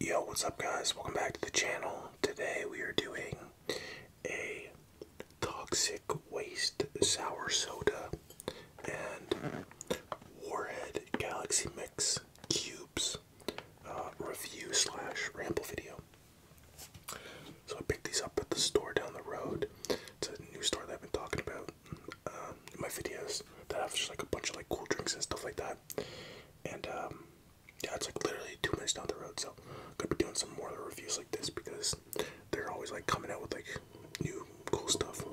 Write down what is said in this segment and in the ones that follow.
Yo, what's up guys? Welcome back to the channel. Today we are doing a toxic waste sour soda and Warhead Galaxy Mix Cubes uh, review slash ramble video. So I picked these up at the store down the road. It's a new store that I've been talking about um, in my videos that have just like a bunch of like cool drinks and stuff like that and um, yeah, it's like literally two minutes down the road. So I'm gonna be doing some more reviews like this because they're always like coming out with like new cool stuff.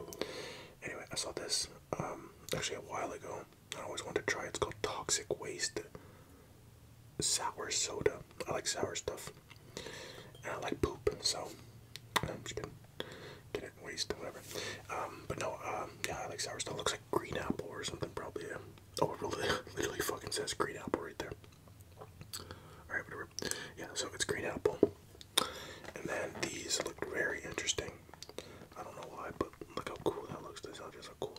Anyway, I saw this um, actually a while ago. I always wanted to try. It's called Toxic Waste Sour Soda. I like sour stuff, and I like poop, so I'm just gonna get it wasted, whatever. Um, but no, um, yeah, I like sour stuff. Looks like green apple or something, probably. Yeah. Oh, it literally fucking says green apple right there. Alright, whatever. Yeah, so it's green apple. And then these look very interesting. I don't know why, but look how cool that looks. These are cool.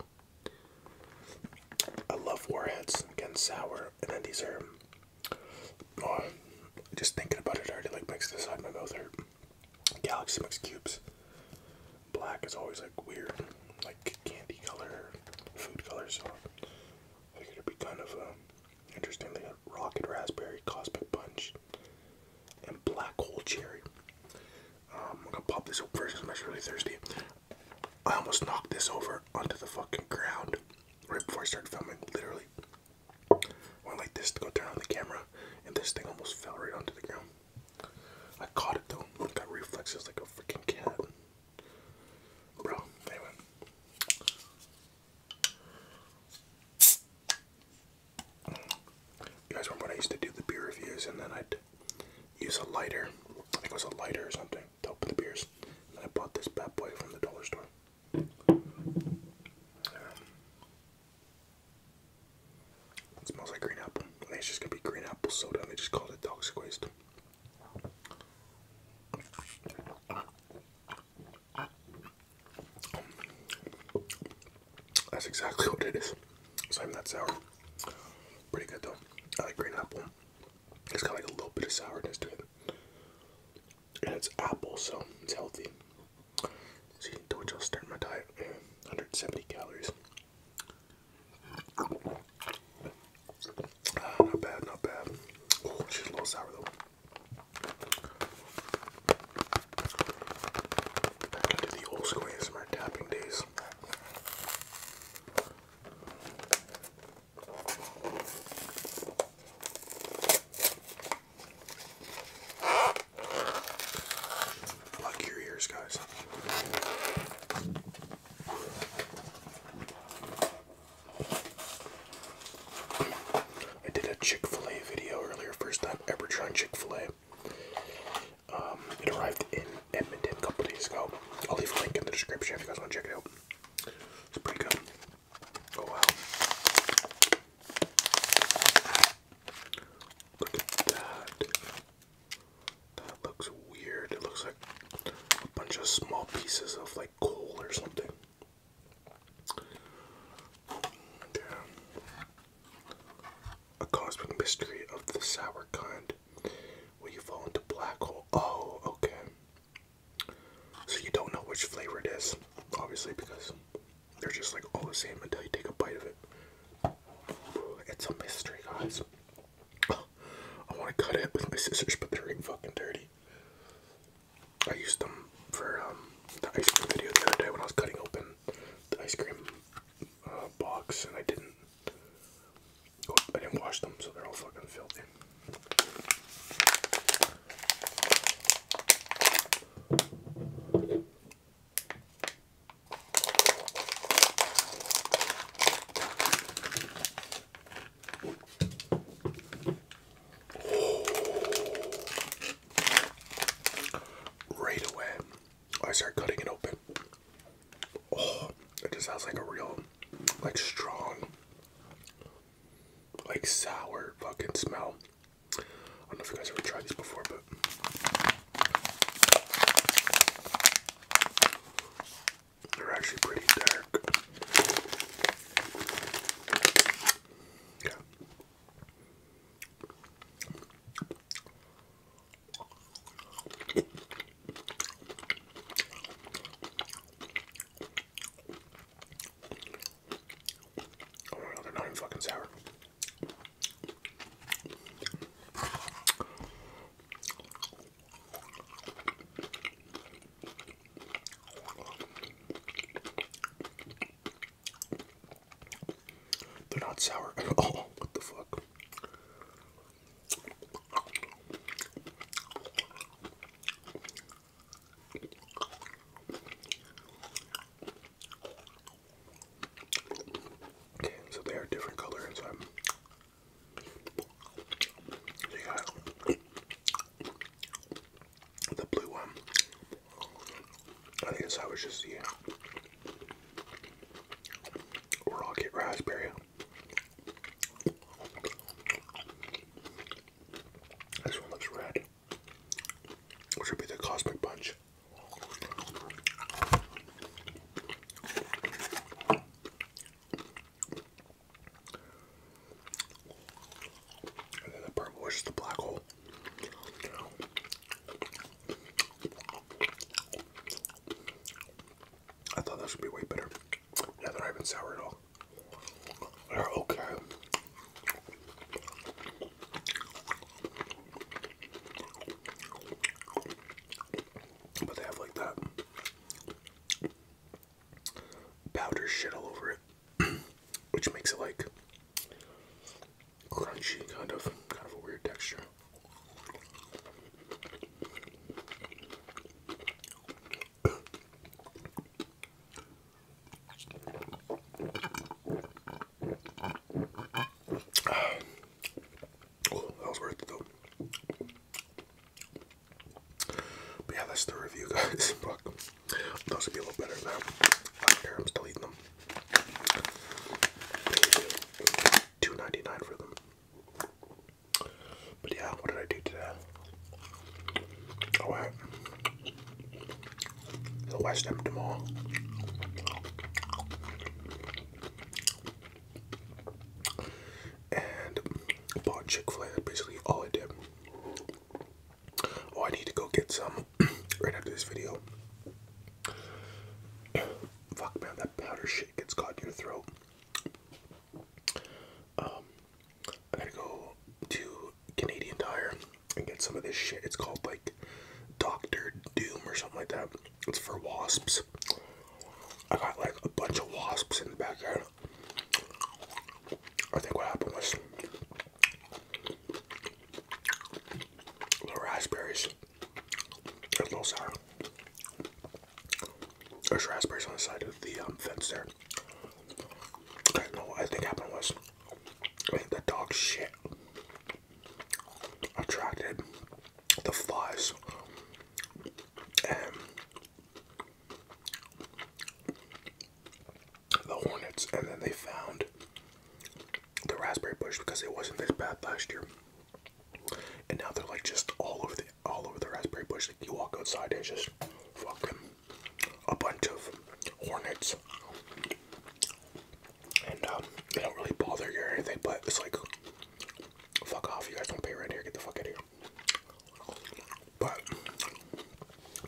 I love warheads. Again, sour. And then these are. Oh, just thinking about it already like makes the side of my mouth hurt. Galaxy Mix cubes. Black is always like weird, like candy color, food color, so I think it'd be kind of um, interesting. They have Rocket Raspberry, Cosmic Punch, and Black Hole Cherry. Um, I'm gonna pop this open because I'm actually really thirsty. I almost knocked this over onto the fucking ground right before I started filming, literally. I went like this to go turn on the camera and this thing almost fell right onto the ground. I caught it though. I got reflexes like a freaking cat. Bro, anyway. You guys remember when I used to do the beer reviews and then I'd use a lighter? I think it was a lighter or something to open the beers. And I bought this bad boy from the dollar store. Um, it smells like green apple. I think it's just gonna be green apple soda, and they just called it dog squeezed. That's exactly what it is. Same, not sour. Pretty good though. I like green apple. It's got like a little bit of sourness to it. And it's apple, so it's healthy. See, to which I'll start my diet. 170 calories. Ah, not bad, not bad. Oh, she's a little sour though. Back into the old school ASMR tapping days. Plug your ears, guys. I did a Chick fil A video earlier, first time ever trying Chick fil A. Um, it arrived in Edmonton a couple days ago. I'll leave a link in the description if you guys want to check it out. It's pretty good. Oh wow. Look at that. That looks weird. It looks like a bunch of small pieces of like coal or something. Damn. A cosmic mystery of the sour kind. Will you fall into black hole? Oh, okay. So you don't know which flavor it is, obviously, because they're just like all the same until you take a bite of it. It's a mystery, guys. I want to cut it with my scissors, but they're fucking dirty. I used them for um, the ice cream video the other day when I was cutting open the ice cream uh, box, and I didn't. Oh, I didn't wash them, so they're all fucking filthy. Right away, I start cutting it open. Oh, it just has like a real, like strong, like sour fucking smell. I don't know if you guys ever tried these before, but they're actually pretty dark. Yeah. Oh, they're not even fucking sour. They're not sour at all. What the fuck? Okay, so they are different colors. the blue one. I think this I was just yeah, rocket raspberry. This one looks red which would be the Cosmic Punch. And then the purple is the black hole. I thought this would be way better. Now they're not even sour at all. They're okay. But they have like that powder shit all over it, which makes it like crunchy, kind of, kind of a weird texture. oh, that was worth it though. But yeah, that's the review, guys. Fuck. Those would be a little better than I am still eating them. 2 for them. But yeah, what did I do today? All right, at the West Hampton tomorrow, And bought Chick fil A. Basically, all I did. Oh, I need to go get some right after this video. Fuck, man, that powder shit gets caught in your throat. Um, I gotta go to Canadian Tire and get some of this shit. It's called like Doctor Doom or something like that. It's for wasps. I got like a bunch of wasps in the backyard. I think what happened was little raspberries. There's little raspberries on the side of the um, fence there. I don't know what I think happened was the dog shit attracted the flies and the hornets, and then they found the raspberry bush because it wasn't this bad last year. And now they're like just all over the all over the raspberry bush. Like you walk outside, it's just fucking a bunch of hornets, and um, they don't really bother you or anything. But it's like, fuck off! You guys don't pay rent here. Get the fuck out of here. But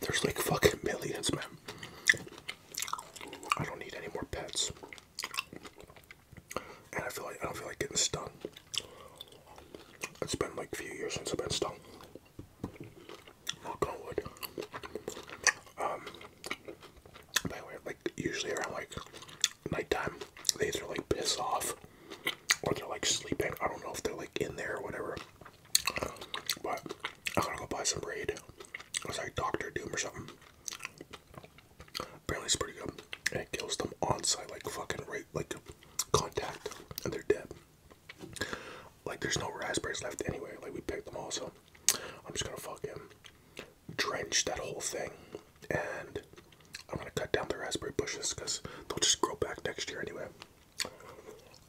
there's like fucking millions, man. I don't need any more pets, and I feel like I don't feel like getting stung. It's been like a few years since I've been stung. Knock on um, by the way, like usually around like nighttime, they either like piss off or they're like sleeping. I don't know if they're like in there or whatever. But I gotta go buy some braid. It was like Doctor Doom or something. Apparently it's pretty good. And it kills them on site, like fucking right, like contact, and they're dead. Like there's no raspberries left anyway. Like we picked them all, so I'm just gonna fucking drench that whole thing, and I'm gonna cut down the raspberry bushes because they'll just grow back next year anyway.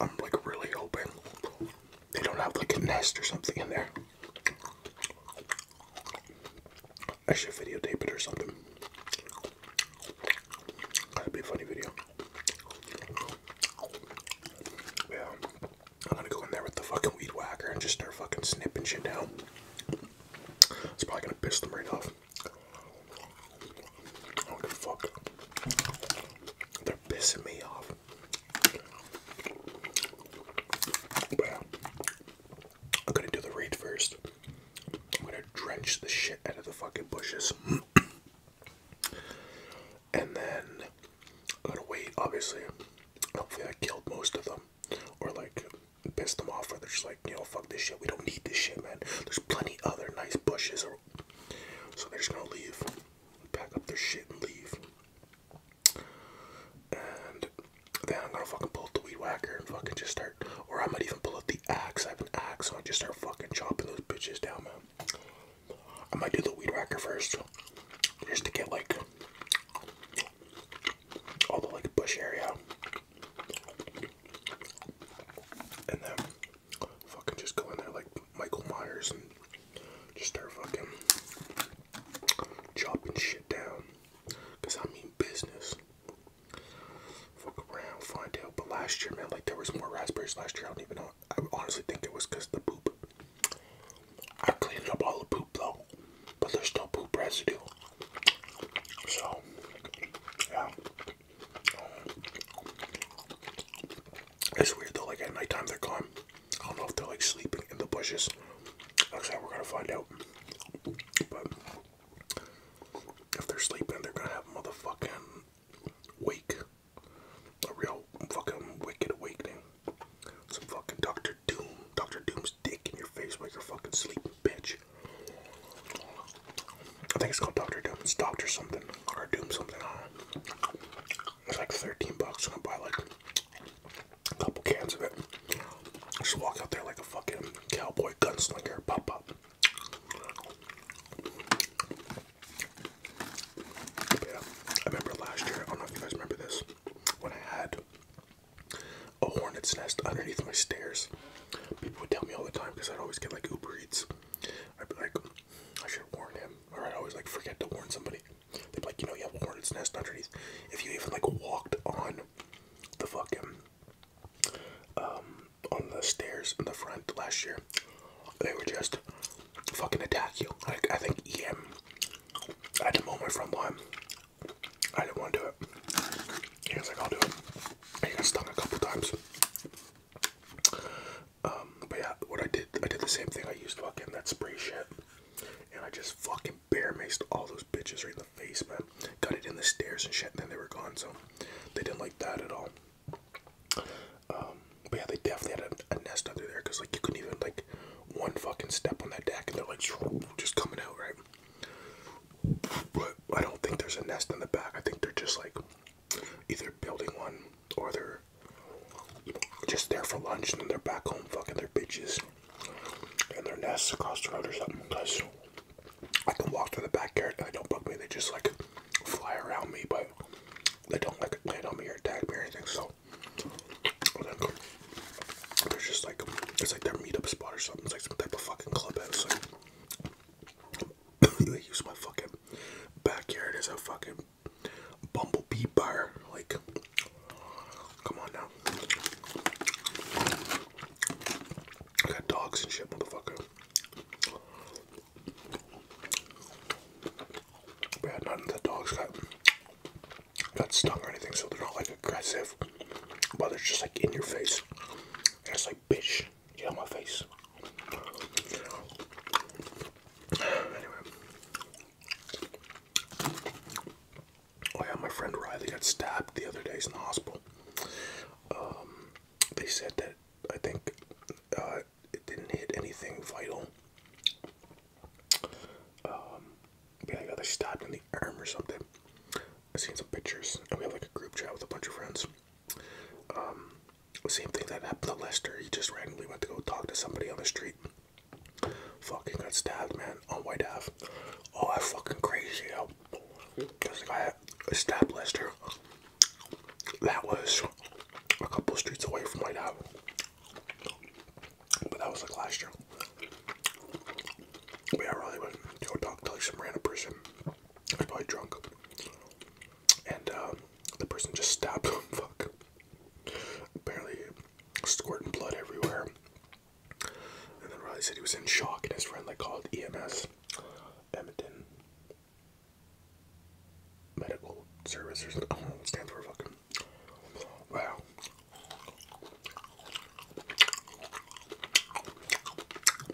I'm like really hoping they don't have like a nest or something in there. I should videotape it or something. That'd be a funny video. Yeah. I'm gonna go in there with the fucking weed whacker and just start fucking snipping shit down. It's probably gonna piss them right off. I fuck. They're pissing me off. yeah. I'm gonna do the raid first. I'm gonna drench the shit out of the fucking bushes. and then a little weight, obviously. Hopefully, I killed most of them, or like pissed them off, or they're just like, you know, fuck this shit. We don't need this shit, man. There's plenty other nice bushes, or so they're just gonna leave, pack up their shit and leave. And then I'm gonna fucking pull the weed whacker and fucking just start, or I might even pull out the axe grab axe and I just start fucking chopping those bitches down, man. I might do the weed whacker first, just to get like all the like bush area, and then fucking just go in there like Michael Myers and just start fucking chopping shit down. Cause I mean business fuck around, find out. But last year, man, like there was more raspberries last year. I don't even know. I honestly think it was because the poop. I cleaned up all the poop though, but there's still poop residue. So, yeah. It's weird though. Like at nighttime, they're gone. I don't know if they're like sleeping in the bushes. Looks like we're gonna find out. If they're sleeping, they're gonna have a motherfucking wake. A real fucking wicked awakening. Some fucking Doctor Doom. Doctor Doom's dick in your face while you're fucking sleeping, bitch. I think it's called Doctor Doom. Doctor something. Or Doom something. It's like 13 bucks. to buy like a couple cans of it. Just walk out there like a fucking cowboy gunslinger. Pop, pop yeah, I remember last year, I don't know if you guys remember this, when I had a hornet's nest underneath my stairs. People would tell me all the time because I'd always get like Uber Eats. I'd be like, I should warn him. Or I'd always like forget to warn somebody. They'd be like, you know, you have a hornet's nest underneath. If you even like walked on the fucking um on the stairs in the front last year, they were just fucking attack you. Like I think EM, I had to mow my front lawn. I didn't want to do it. He was like, I'll do it. he got stung a couple times. Um, but yeah, what I did, I did the same thing. I used fucking that spray shit, and I just fucking bear maced all those bitches right in the face, man. Got it in the stairs and shit, then they were gone. So they didn't like that at all. Um, but yeah, they definitely had a, nest under there because like you couldn't even like one fucking step on that deck and they're like just coming out, right? But I don't think there's a nest in the back. I think they're just like either building one or they're just there for lunch and then they're back home fucking their bitches and their nests across the road or something. I can walk to the backyard and they don't bug me. They just like fly around me, but they don't like land on me or attack me or anything. So they're just like it's like their meet up spot or something. It's like some type of fucking clubhouse. Like they use my fucking backyard as a fucking bumblebee bar. Like, come on now. I got dogs and shit, motherfucker. But yeah, none of the dogs got got stung or anything, so they're not like aggressive. But they're just like in your face. And it's like, bitch, get out my face. Anyway. Oh yeah, my friend Riley got stabbed the other day in the hospital. Um, they said that I think uh, it didn't hit anything vital. Um, yeah, I got stabbed in the arm or something. I seen some pictures, and we have like a group chat with a bunch of friends. Um, same thing that happened to Lester. He just randomly went to go talk to somebody on the street. Fucking got stabbed, man, on White Ave. Oh, I fucking crazy out because the guy established her that was a couple streets away from my House, But that was like last year. But yeah, I went to go talk to like some random person. I was probably drunk. And uh, the person just stabbed him. Fuck. Barely squirting blood everywhere. And then Riley said he was in shock, and his friend like called EMS, Edmonton Medical Service or something. Oh, stands for fucking. Wow.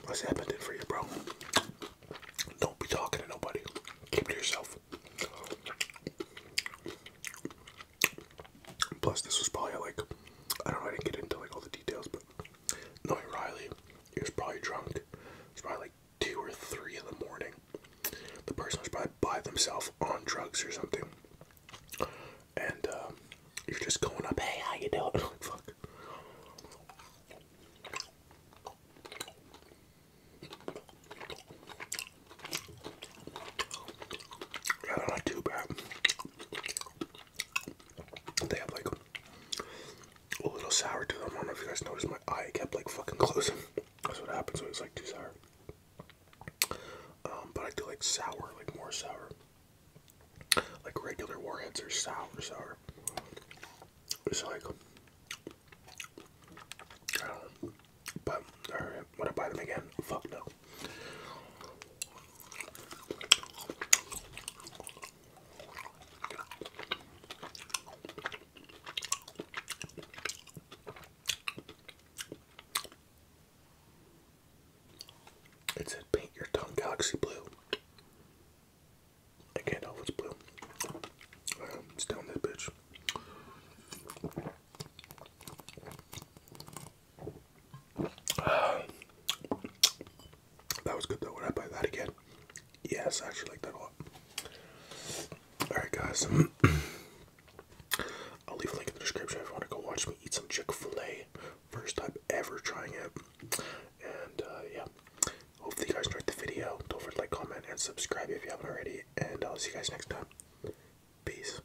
What's happening for you, bro? Don't be talking to nobody. Keep it to yourself. Plus, this was probably like I don't know. I didn't get into like all the details, but no, Riley, he was probably drunk. It probably like two or three in the morning. The person was probably by themselves on drugs or something. And you're uh, just going up, hey, how you doing? fuck. not too bad. They have like a little sour to them. I don't know if you guys noticed my eye kept like fucking closing. That's what happens when it's like too sour. Um, but I do like sour, like more sour. Like regular warheads are sour, sour. It's like But alright, would I buy them again? Fuck no. It said paint your tongue galaxy blue. I can't tell if blue. Um, that bitch. that was good though. Would I buy that again? Yes, I actually like that a lot. Alright, guys. I'll leave a link in the description if you want to go watch me eat some Chick fil A. First time ever trying it. And uh, yeah. Hopefully, you guys enjoyed the video. Don't forget to like, comment, and subscribe if you haven't already. And I'll see you guys next time. Peace.